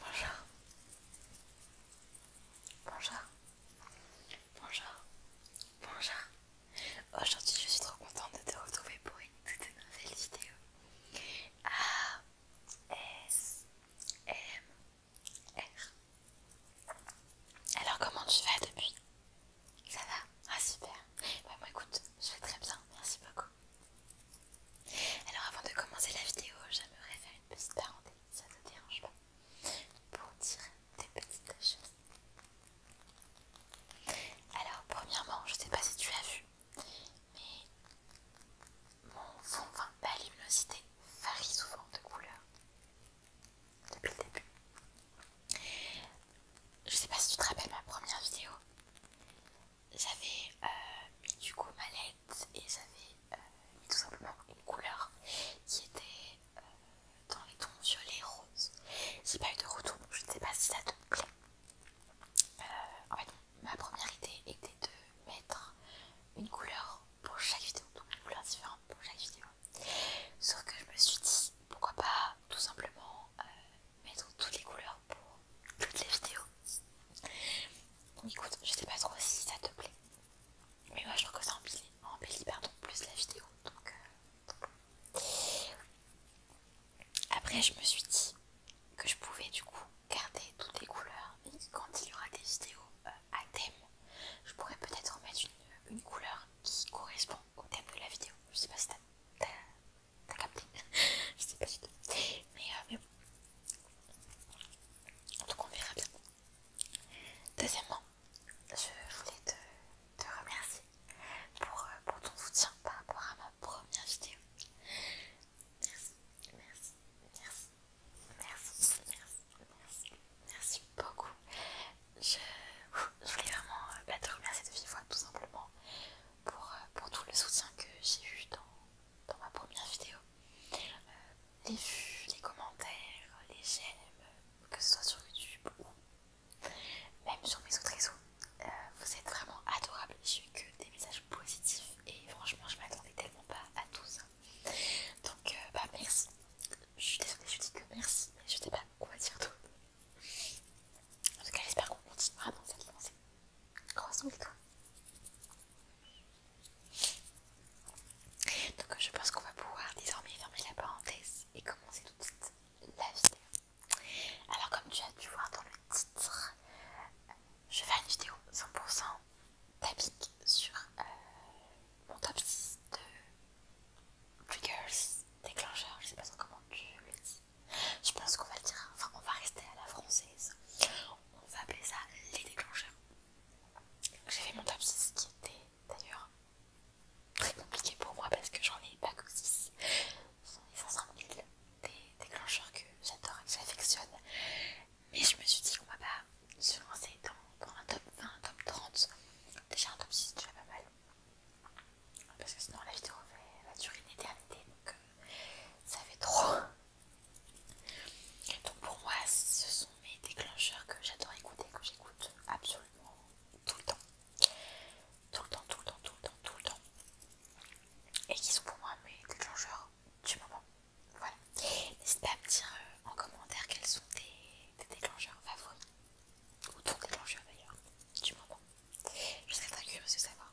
Bonjour. Bonjour. Bonjour. Bonjour. Aujourd'hui, je suis trop contente de te retrouver pour une toute nouvelle vidéo. A S M R. Alors, comment tu vas depuis Ça va Ah super. Bah écoute, je vais très bien. Merci beaucoup. Alors avant de commencer la vidéo, j'aimerais faire une petite parenthèse, ça te dérange pas, pour dire des petites choses. Alors premièrement, je sais pas si tu as vu, mais mon fond, enfin ma luminosité varie souvent de couleur depuis le début. Je sais pas si tu te rappelles ma première vidéo, j'avais euh, mis du coup ma et j'avais euh, mis tout simplement une couleur qui était euh, dans les tons violet rose. J'ai pas eu de retour, je ne sais pas si ça te plaît. en fait, ma première idée était de mettre une couleur pour chaque vidéo, donc une couleur différente pour chaque vidéo. Sauf que je me suis dit pourquoi pas tout simplement mettre toutes les couleurs pour toutes les vidéos. Donc écoute, je sais pas trop si ça te plaît, mais moi je trouve que ça embellit, plus la vidéo. Donc, euh, Après, je me suis dit que je pouvais du coup garder toutes les couleurs mais quand il y aura des vidéos euh, à thème, je pourrais peut-être mettre une, une couleur qui correspond au thème de la vidéo. Je sais pas si t'as T'as capté Je sais pas du tout. Euh, mais, bon. En tout cas, on verra bien. Deuxièmement, je voulais te, remercier euh, pour, ton soutien par rapport à ma première vidéo. Merci, merci, merci, merci, merci, merci, merci beaucoup. Je, voulais vraiment euh, bah, te remercier de vive voix tout simplement pour, pour tout le soutien que j'ai eu dans, dans ma première vidéo. Euh, les vues, les commentaires, les j'aime, que ce soit sur YouTube ou même sur mes autres réseaux. Euh, vous êtes vraiment adorables, j'ai eu que des messages positifs et franchement je m'attendais tellement pas à tout ça. Donc euh, bah merci. Je suis désolée, je dis que merci, mais je sais pas quoi dire d'autre. En tout cas j'espère qu'on continuera dans cette lancée. Croissons les Donc je pense qu'on va pouvoir désormais fermer la parenthèse et commencer tout de suite la vidéo. Alors comme tu as dû voir dans le titre, je faire une vidéo 100% tapique sur euh, mon top 6 de triggers, déclencheurs, je sais pas trop comment tu le dis. Je pense qu'on va le dire, enfin on va rester à la française. On va appeler ça les déclencheurs. J'ai fait mon top 6 qui était d'ailleurs très compliqué pour moi parce que j'en ai pas que 6. sont les 500 000 des déclencheurs que j'adore et que j'affectionne. Mais je me suis dit qu'on va pas se lancer dans, un top 20, un top 30. Déjà un top 6 déjà pas mal. Parce que sinon la vidéo va, durer une éternité. Euh, ça fait trop. Donc pour moi, ce sont mes déclencheurs que j'adore écouter, que j'écoute absolument tout le temps. Tout le temps, tout le temps, tout le temps, tout le temps. Et qui sont pour moi mes déclencheurs du moment. Voilà. N'hésite pas à me dire euh, en commentaire quels sont tes, déclencheurs favoris. Ou ton déclencheur d'ailleurs, du moment. Je serais très curieuse de savoir.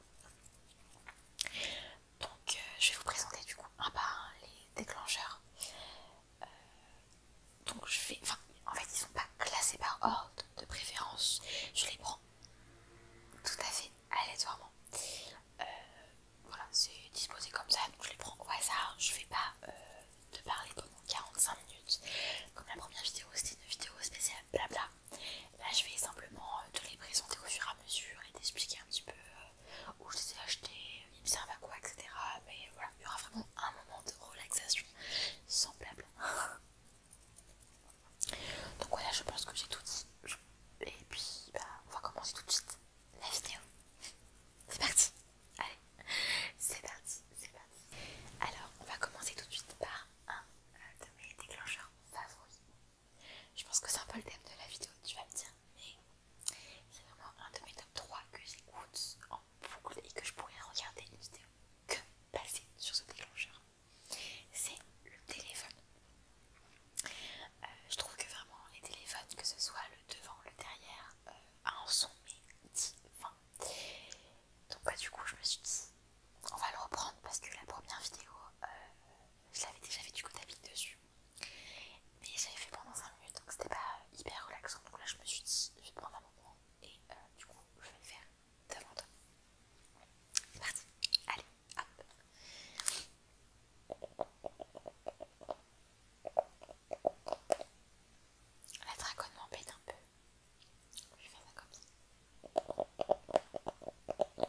Donc euh, je vais vous présenter du coup un par les déclencheurs. Euh, donc je vais... en fait ils sont pas classés par ordre de préférence. Je les prends tout à fait aléatoirement. Euh, voilà, c'est disposé comme ça, donc je les prends au hasard. Je vais pas te parler pendant 45 minutes. Comme la première vidéo, c'était une vidéo spéciale bla bla. Là, bah, je vais simplement euh, te les présenter au fur et à mesure et t'expliquer un petit peu euh, où je les ai achetés, euh, ils me servent à quoi, etc. Mais voilà, il y aura vraiment un moment de relaxation semblable. Donc voilà, je pense que j'ai tout dit. Et puis, bah, on va commencer tout de suite la vidéo. C'est parti Allez, c'est parti, c'est parti. Alors, on va commencer tout de suite par un de mes déclencheurs favoris. Je pense que c'est un peu le thème de la vidéo, tu vas me dire, mais c'est vraiment un de mes top 3 que j'écoute en boucle et que je pourrais regarder une vidéo que passer sur ce déclencheur. C'est le téléphone. Euh, je trouve que vraiment les téléphones, que ce soit le devant, le derrière, euh, a un son mais Donc pas bah, du coup je me suis dit on va le reprendre parce que la première vidéo, euh, je l'avais déjà fait du coup d'habit dessus. Mais j'avais fait pendant 5 minutes donc c'était pas hyper relaxant. Donc là, je me suis dit, je vais prendre un moment et euh, du coup, je vais le faire devant toi. C'est parti, allez, hop! La dragonne m'embête un peu. Je vais faire ça comme ça.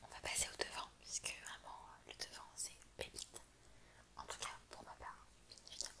On va passer au devant puisque vraiment le devant, c'est pépite. En tout cas, pour ma part, évidemment.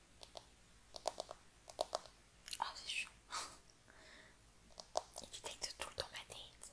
Ah c'est chaud. Il détecte tout le temps ma tête.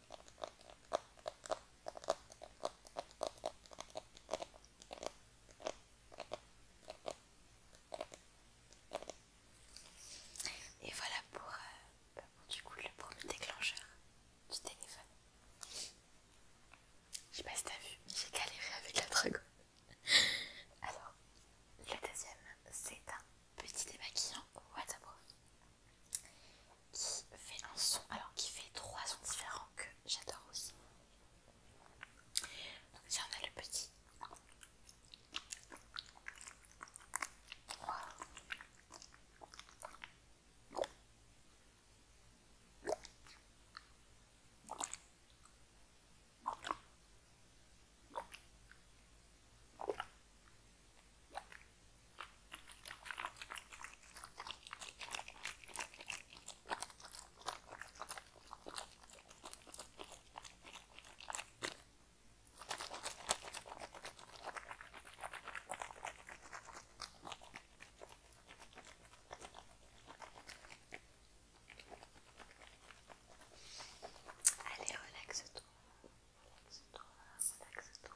Et voilà euh, bah, pour, du coup le premier déclencheur du téléphone. Je sais pas si t'as vu, mais j'ai galéré avec la dragon. Alors, le deuxième, c'est un petit démaquillant waterproof qui fait un son, alors qui fait trois sons différents que j'adore aussi. Donc tiens le petit. Allez, relaxe-toi, relaxe-toi, relaxe-toi.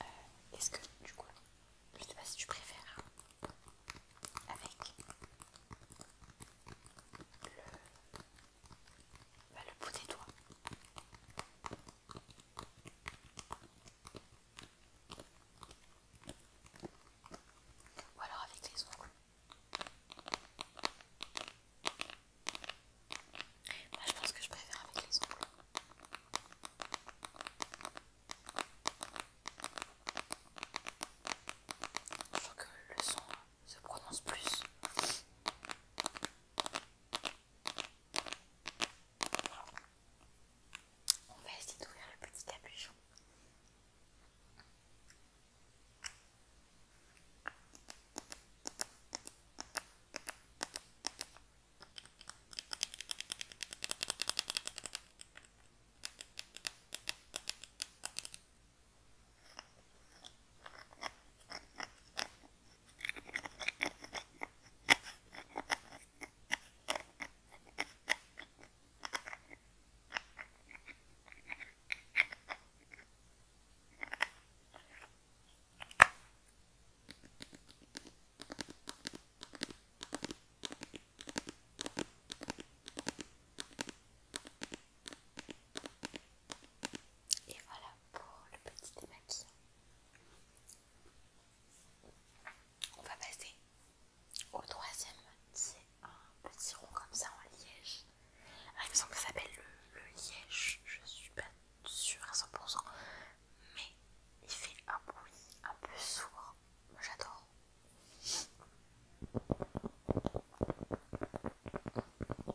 Euh, est-ce que du coup, je sais pas si tu préfères hein, avec le bout bah, des doigts ou alors avec les ongles. moi bah, je pense que je préfère avec les ongles. Je trouve que le son se prononce plus. On va essayer d'ouvrir le petit capuchon. Et voilà pour le petit démaquillant. On va passer au troisième un petit rond comme ça en liège. Alors, ah, il que ça s'appelle le, liège, je suis pas sûre à 100%, mais il fait un bruit un peu sourd. J'adore.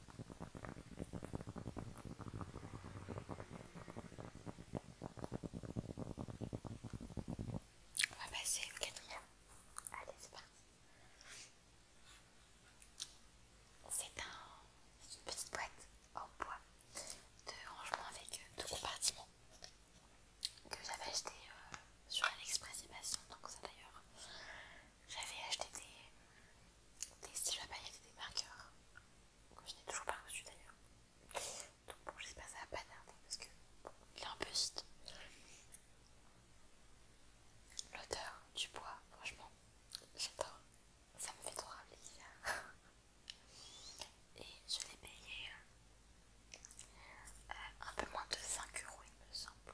On va passer au quatrième. Allez, c'est parti. C'est une petite boîte en bois de rangement avec euh, deux compartiments que j'avais acheté euh, sur AliExpress et Bastion. Donc, ça d'ailleurs, j'avais acheté des, des styles à paillettes et des marqueurs que je n'ai toujours pas reçu d'ailleurs. Donc bon, j'espère que ça va pas tarder parce que il est un peu vite. L'odeur du bois, franchement, j'adore. Ça me fait trop rappeler Et je l'ai payé euh, un peu moins de 5 euros, il me semble.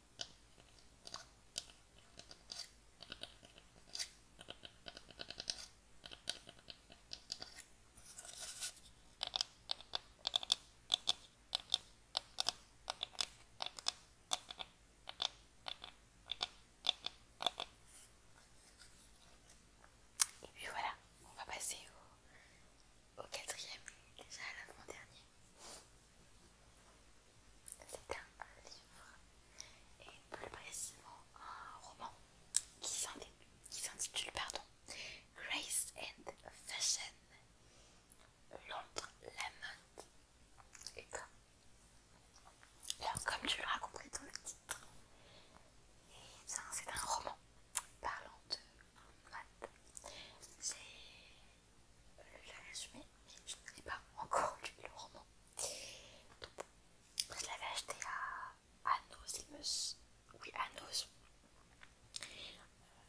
Et puis voilà, on va passer au, au quatrième, déjà à l'avant-dernier. C'est un livre, et plus précisément un roman qui s'intitule Grace and Fashion, Londres, la mode. Et comme, tu l'as compris dans le titre, c'est un roman parlant de mode le résumé, mais je n'ai pas encore lu le roman. je l'avais acheté à Annos il Oui, Annos. Euh,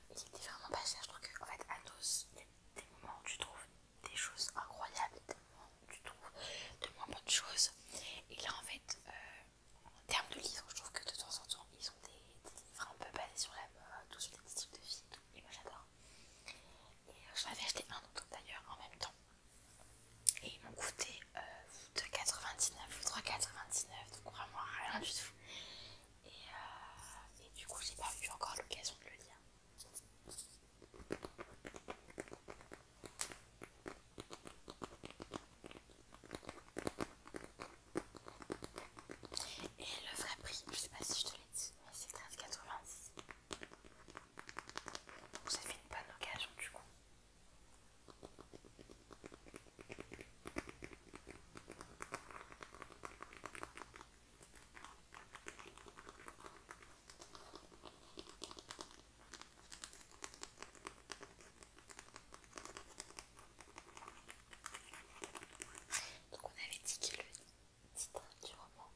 il était vraiment pas cher, je trouve qu'en fait, Anos, il y a des moments où tu trouves des choses incroyables, des moments où tu trouves de moins bonnes choses. Et là, en fait, euh, en termes de livres, je trouve que de temps en temps, ils ont des, livres un peu basés sur la mode ou sur des styles de vie. Et moi, j'adore et euh, j'en avais acheté un autre d'ailleurs en même temps et ils m'ont coûté 2,99 euh, ou 3,99 donc vraiment rien du tout euh, et, du coup j'ai pas eu encore l'occasion de le lire et le vrai prix, je sais pas si je te c'est 13,86. Donc ça fait une bonne occasion du coup. Donc on avait dit que le titre du roman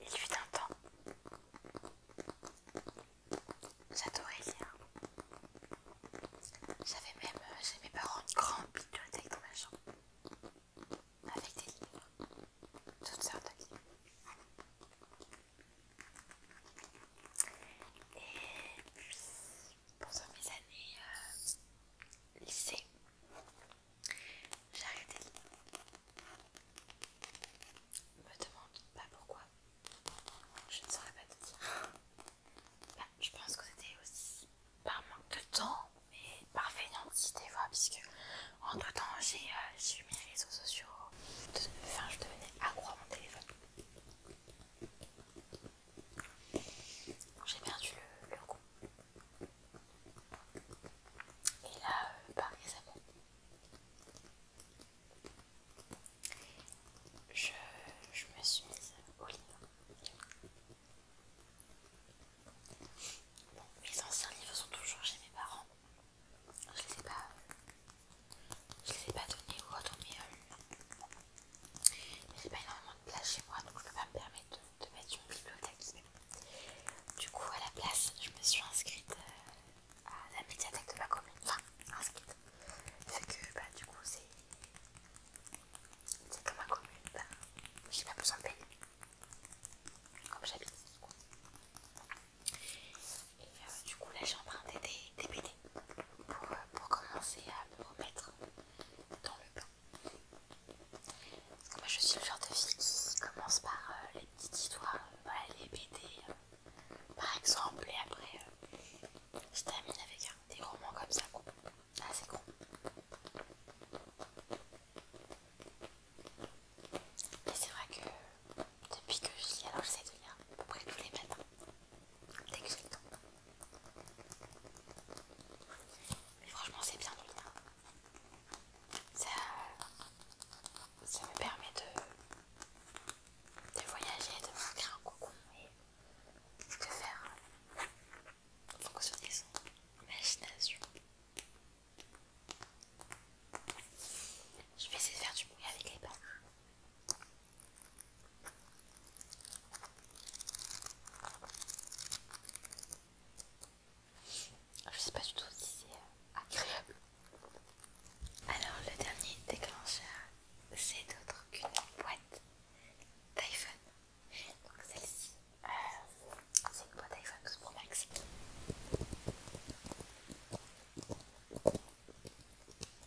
Il fut un temps. J'adorais lire. J'avais même euh, j'ai mes parents une grande bibliothèque dans ma chambre. Avec des livres. Toutes sortes de livres. Et pendant mes années euh, lycée, j'ai arrêté Me demande pas pourquoi. Je ne saurais pas te dire. Bah, je pense que c'était aussi par manque de temps, mais par fainéantise des fois, puisque entre temps euh, j'ai eu mes réseaux sociaux. Enfin, je devenais accro à mon téléphone j'ai perdu le, le goût. Et là, par euh, bah, exemple, Je, me suis mise au livre. Bon, mes anciens livres sont toujours chez mes parents. Je les pas, je les ai pas donnés ou autres, mais euh, j'ai pas énormément de place chez moi, donc je peux pas me permettre de, mettre une bibliothèque. Du coup, à la place, je me suis inscrite euh, à la médiathèque de ma commune. Enfin, inscrite. c'est que, bah, du coup, c'est. comme ma commune, je bah, j'ai pas besoin de payer. Comme j'habite, Et euh, du coup, là, j'ai emprunté des, BD pour, euh, pour commencer à me remettre dans le bain. moi je suis le genre de fille qui commence par euh, les petites histoires, euh, les BD euh, par exemple, et après je termine avec des romans comme ça, assez ah, c'est gros. Et c'est vrai que depuis que je suis alors sais de rien, à peu près tous les matins. Mais franchement, c'est bien de Ça, me permet de, voyager, de faire un cocon et de faire euh, fonctionner son imagination. Je vais essayer de faire du bruit avec les pattes. Je sais pas du tout si c'est euh, agréable. Alors le dernier déclencheur, c'est d'autre qu'une boîte d'iPhone. Donc celle-ci, euh, c'est une boîte d'iPhone pour Pro Max.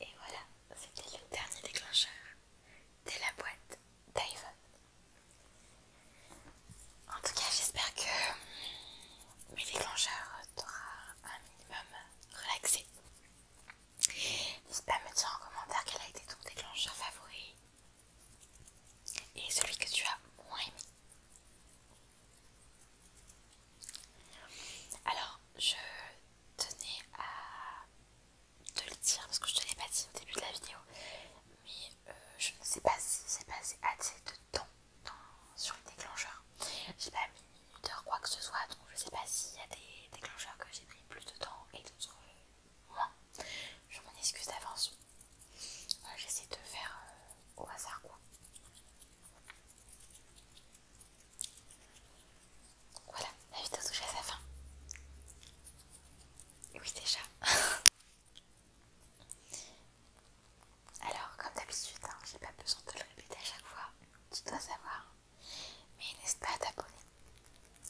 Et voilà, c'était le dernier déclencheur de la boîte d'iPhone. En tout cas, j'espère que mes déclencheurs t'auront un minimum relaxé. N'hésite pas à me dire en commentaire quel a été ton déclencheur favori et celui que tu as moins aimé. Alors, je tenais à te le dire parce que je te l'ai pas dit au début de la vidéo, mais euh, je ne sais pas si c'est passé assez de temps sur les déclencheurs. J'ai pas mis une minuteur quoi que ce soit, donc je sais pas s'il y a des déclencheurs que j'ai pris plus de temps et d'autres euh, moins. Je m'en excuse d'avance. J'essaie de faire euh, au hasard quoi. Voilà, la vidéo touche à sa fin. Oui déjà. Alors, comme d'habitude, hein, j'ai pas besoin de le répéter à chaque fois, tu dois savoir. Mais n'hésite pas à t'abonner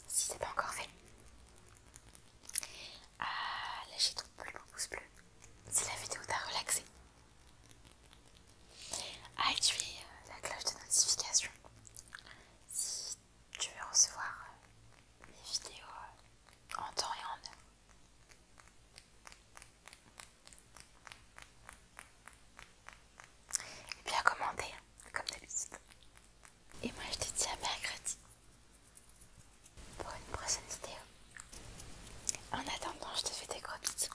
si c'est pas encore fait. Ah, lâcher ton pouce bleu si la vidéo t'a relaxé. À ah, activer euh, la cloche de notification si tu veux recevoir euh, mes vidéos euh, en temps et en heure. Et bien comme d'habitude. Et moi je te dis à mercredi pour une prochaine vidéo. En attendant, je te fais des gros bisous.